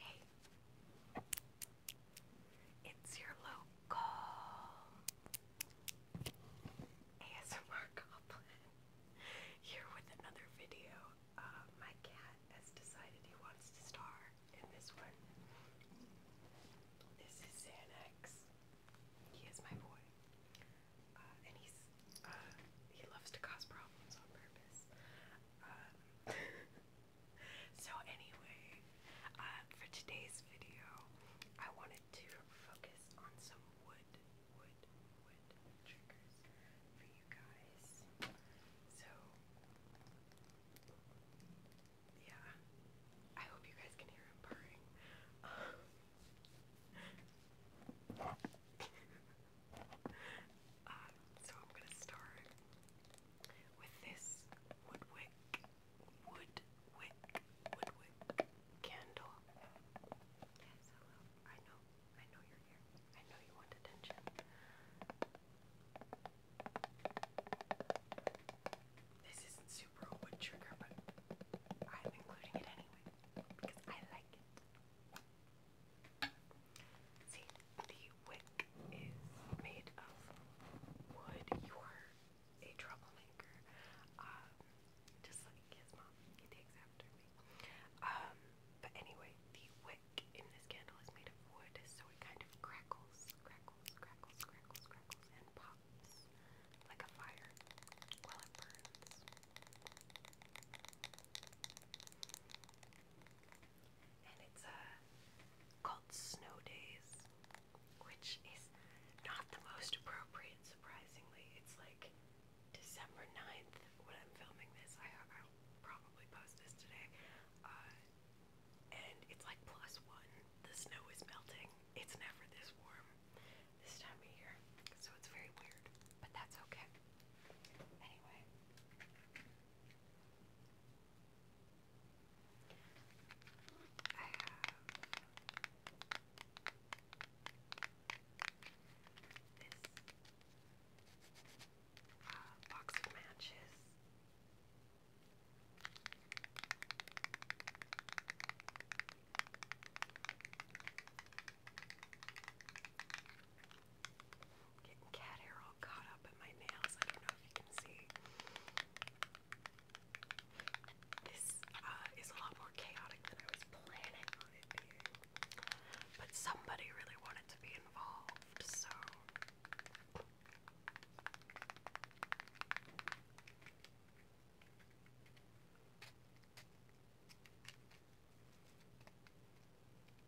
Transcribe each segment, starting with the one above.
Hey, it's your local ASMR Goblin here with another video. my cat has decided he wants to star in this one. This is Xanax. He is my boy. Uh, and he's, uh, he loves to cause problems on purpose. Uh, So anyway, um, for today's video, I wanted to focus on some wood, wood, wood triggers for you guys. So yeah, I hope you guys can hear him purring. Uh, so I'm gonna start with this woodwick, woodwick, woodwick candle. Yes, hello. I know, I know you're here. I know you want attention. This isn't super a wood trigger, but I'm including it anyway because I like it. See, the wick is made of wood. You are a troublemaker. Um, just like his mom, he takes after me. Um, but anyway, the wick in this candle is made of wood, so it kind of crackles, crackles, crackles, crackles, crackles, and pops like a fire while it burns and it's uh, called Snow Days, which is not the most appropriate, surprisingly. It's like December 9th when I'm filming this. I, I'll probably post this today. Uh, and it's like plus one. The snow is melting. It's never this warm this time of year. So it's very weird. But that's okay. Anyway, I have this uh, box of matches. Getting cat hair all caught up in my nails. I don't know if you can see. This uh, is a lot more chaotic than I was planning on it being. But somebody really wanted to be involved, so.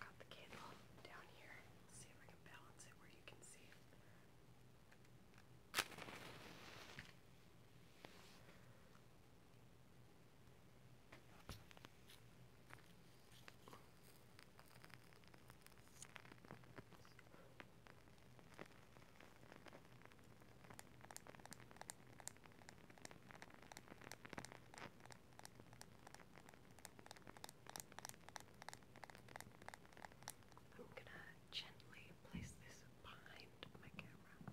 got the candle down here. Let's see if I can balance it where you can see it. Okay. I'm gonna gently place this behind my camera.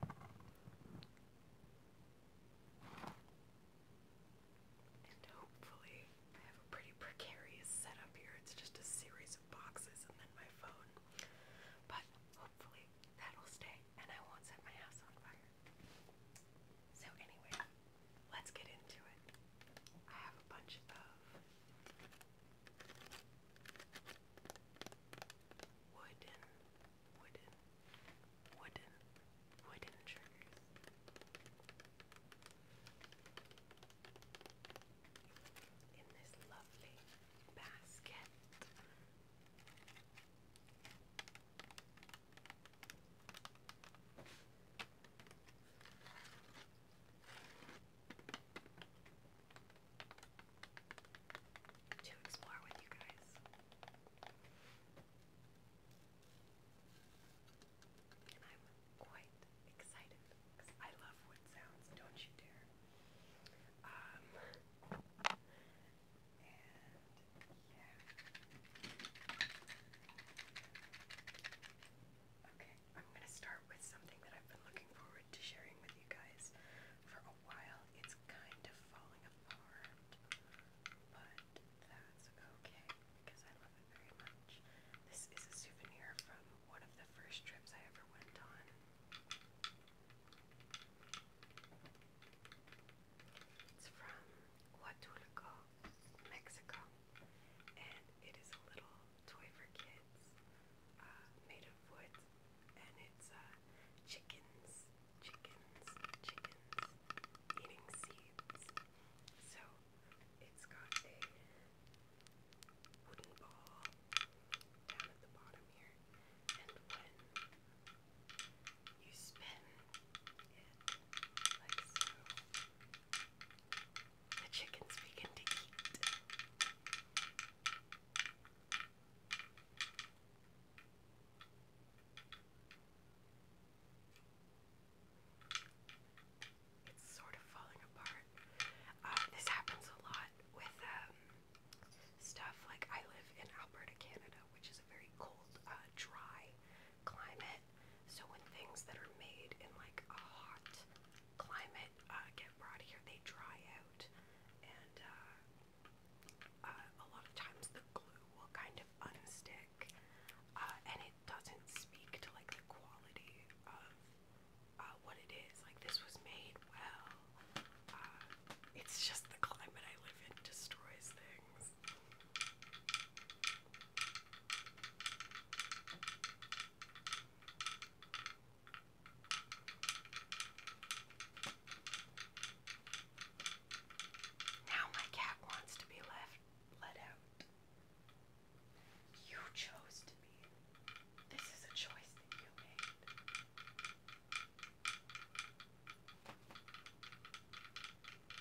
And hopefully, I have a pretty precarious setup here. It's just a series of boxes and then my phone. But hopefully, that'll stay and I won't set my house on fire. So, anyway, let's get into it. I have a bunch of wooden, wooden, wooden, wooden triggers. In this lovely basket to explore with you guys. And I'm quite excited because I love wood sounds, don't you dare. Um, Okay, I'm going to start with something that I've been looking forward to sharing with you guys for a while. It's kind of falling apart, but that's okay because I love it very much. This is a souvenir from one of the first trips I ever went on. It's from Huatulco, Mexico, and it is a little toy for kids uh, made of wood, and it's uh, chickens, chickens, chickens eating seeds. So it's got a wooden ball down at the bottom here, and when you spin the chickens begin to eat. It's sort of falling apart. Uh, this happens a lot with um, stuff like I live in Alberta, Canada, which is a very cold, uh, dry climate. So when things that are made in like a hot climate uh, get brought here, they dry out, and uh, uh, a lot of times the glue will kind of unstick, and it doesn't speak to like the quality of what it is. Like this was made well. it's just the climate I live in destroys things. Now my cat wants to be left let out. You chose to be. This is a choice that you made.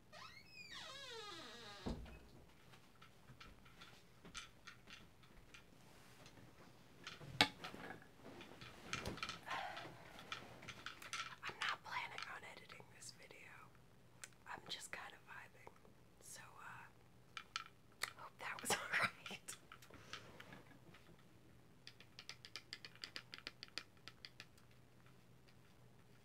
I'm not planning on editing this video. I'm just kind of vibing. So, uh, hope that was alright.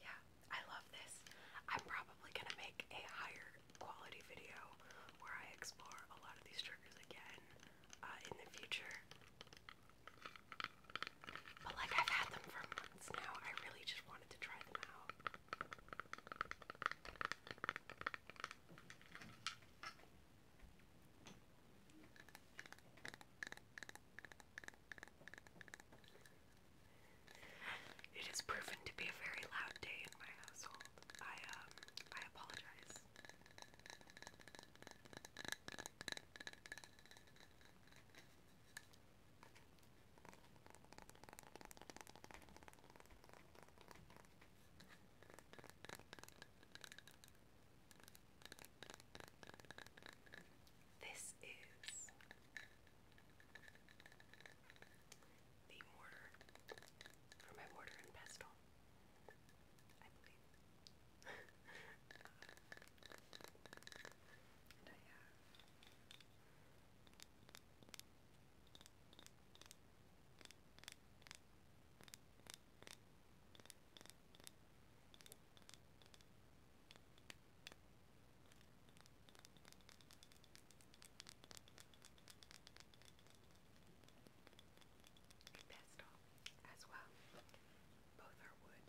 Yeah, I love this. I'm probably going to make a higher quality video where I explore a lot of these triggers again uh, in the future. But like I've had them for months now, I really just wanted to try them out. It proven to be a very loud day in my household. I um, I apologize. This is the mortar for my mortar and pestle, I believe. and I have Pestle as well. Both are wood.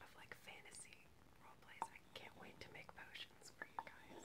of like fantasy role plays. I can't wait to make potions for you guys.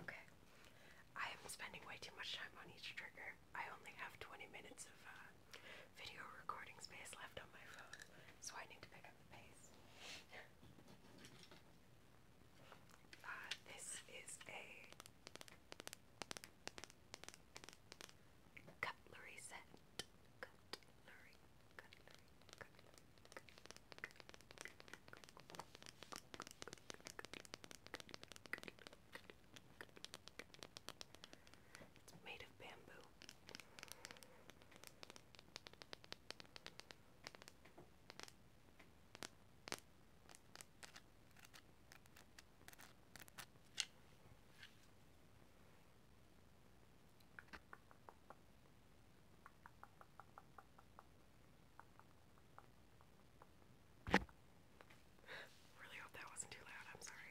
Okay. I am spending way too much time on each trigger. I only have 20 minutes of uh, video recording space left on my phone, so I need to pick up the pace. Uh, this is a Cutlery set. Cutlery. Cutlery. Cutlery. It's made of bamboo really hope that wasn't too loud. I'm sorry.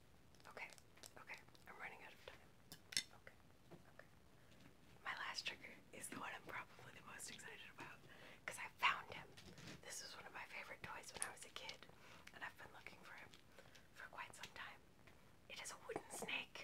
Okay, okay, I'm running out of time. Okay, okay. My last trigger is the one I'm probably the most excited about because I found him. This was one of my favorite toys when I was a kid, and I've been looking for him for quite some time. It is a wooden snake.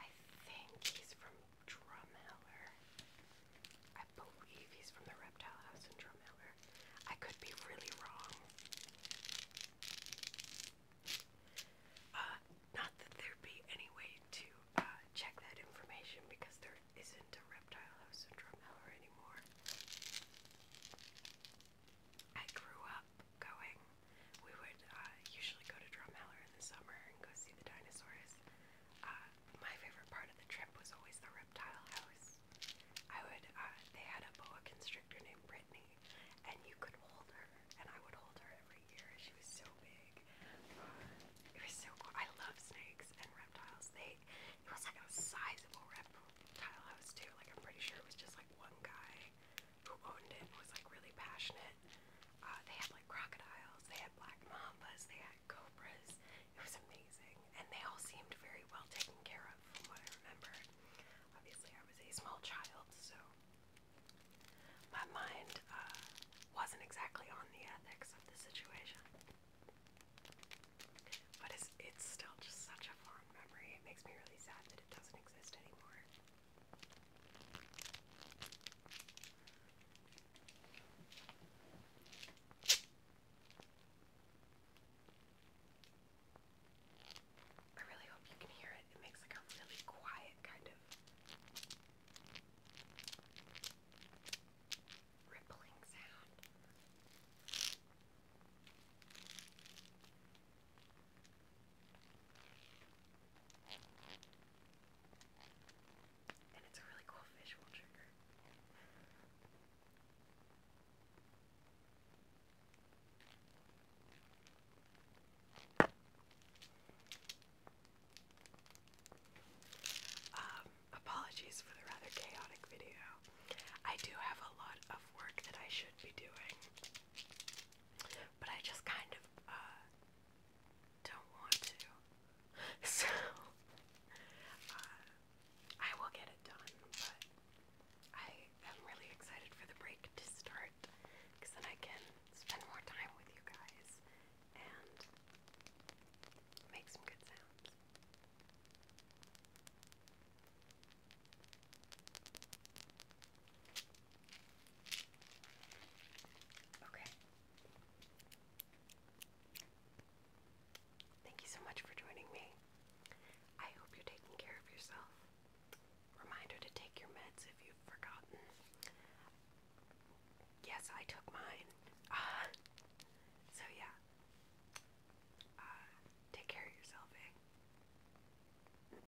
I think he's from Drumheller. I believe he's from the Reptile House in Drumheller. I could be really wrong. Uh, not that there'd be any way to uh, check that information because there isn't a Reptile House in Drumheller anymore. I grew up going we would uh, usually go to Drumheller in the summer and go see the dinosaurs. Uh, my favorite part of the trip was always the reptile house. I would, uh, they had a boa constrictor named Brittany, and you could hold her, and I would hold her every year. She was so big. Uh, it was so cool. I love snakes and reptiles. They, it was like a sizable reptile house too. Like I'm pretty sure it was just like one guy who owned it was like really passionate. Uh, they had like crocodiles, they had black mambas, they had cobras. It was amazing, and they all seemed very well taken care of, from what I remember. Obviously, I was a small child, so my mind uh, wasn't exactly on the ethics of the situation. But it's, it's still just such a fond memory. It makes me really sad that it doesn't exist anymore. I really hope you can hear it. It makes like a really quiet kind of rippling sound. Um, apologies for the rather chaotic video. I do have a lot of work that I should be doing but I just kind of uh, don't want to. So uh, I will get it done, but I am really excited for the break to start because then I can spend more time with you guys and make some good sounds. Okay. Thank you so much for joining me. I hope you're taking care of yourself. Reminder to take your meds if you've forgotten. Yes, I took mine. Uh, so, yeah. Uh, take care of yourself, eh?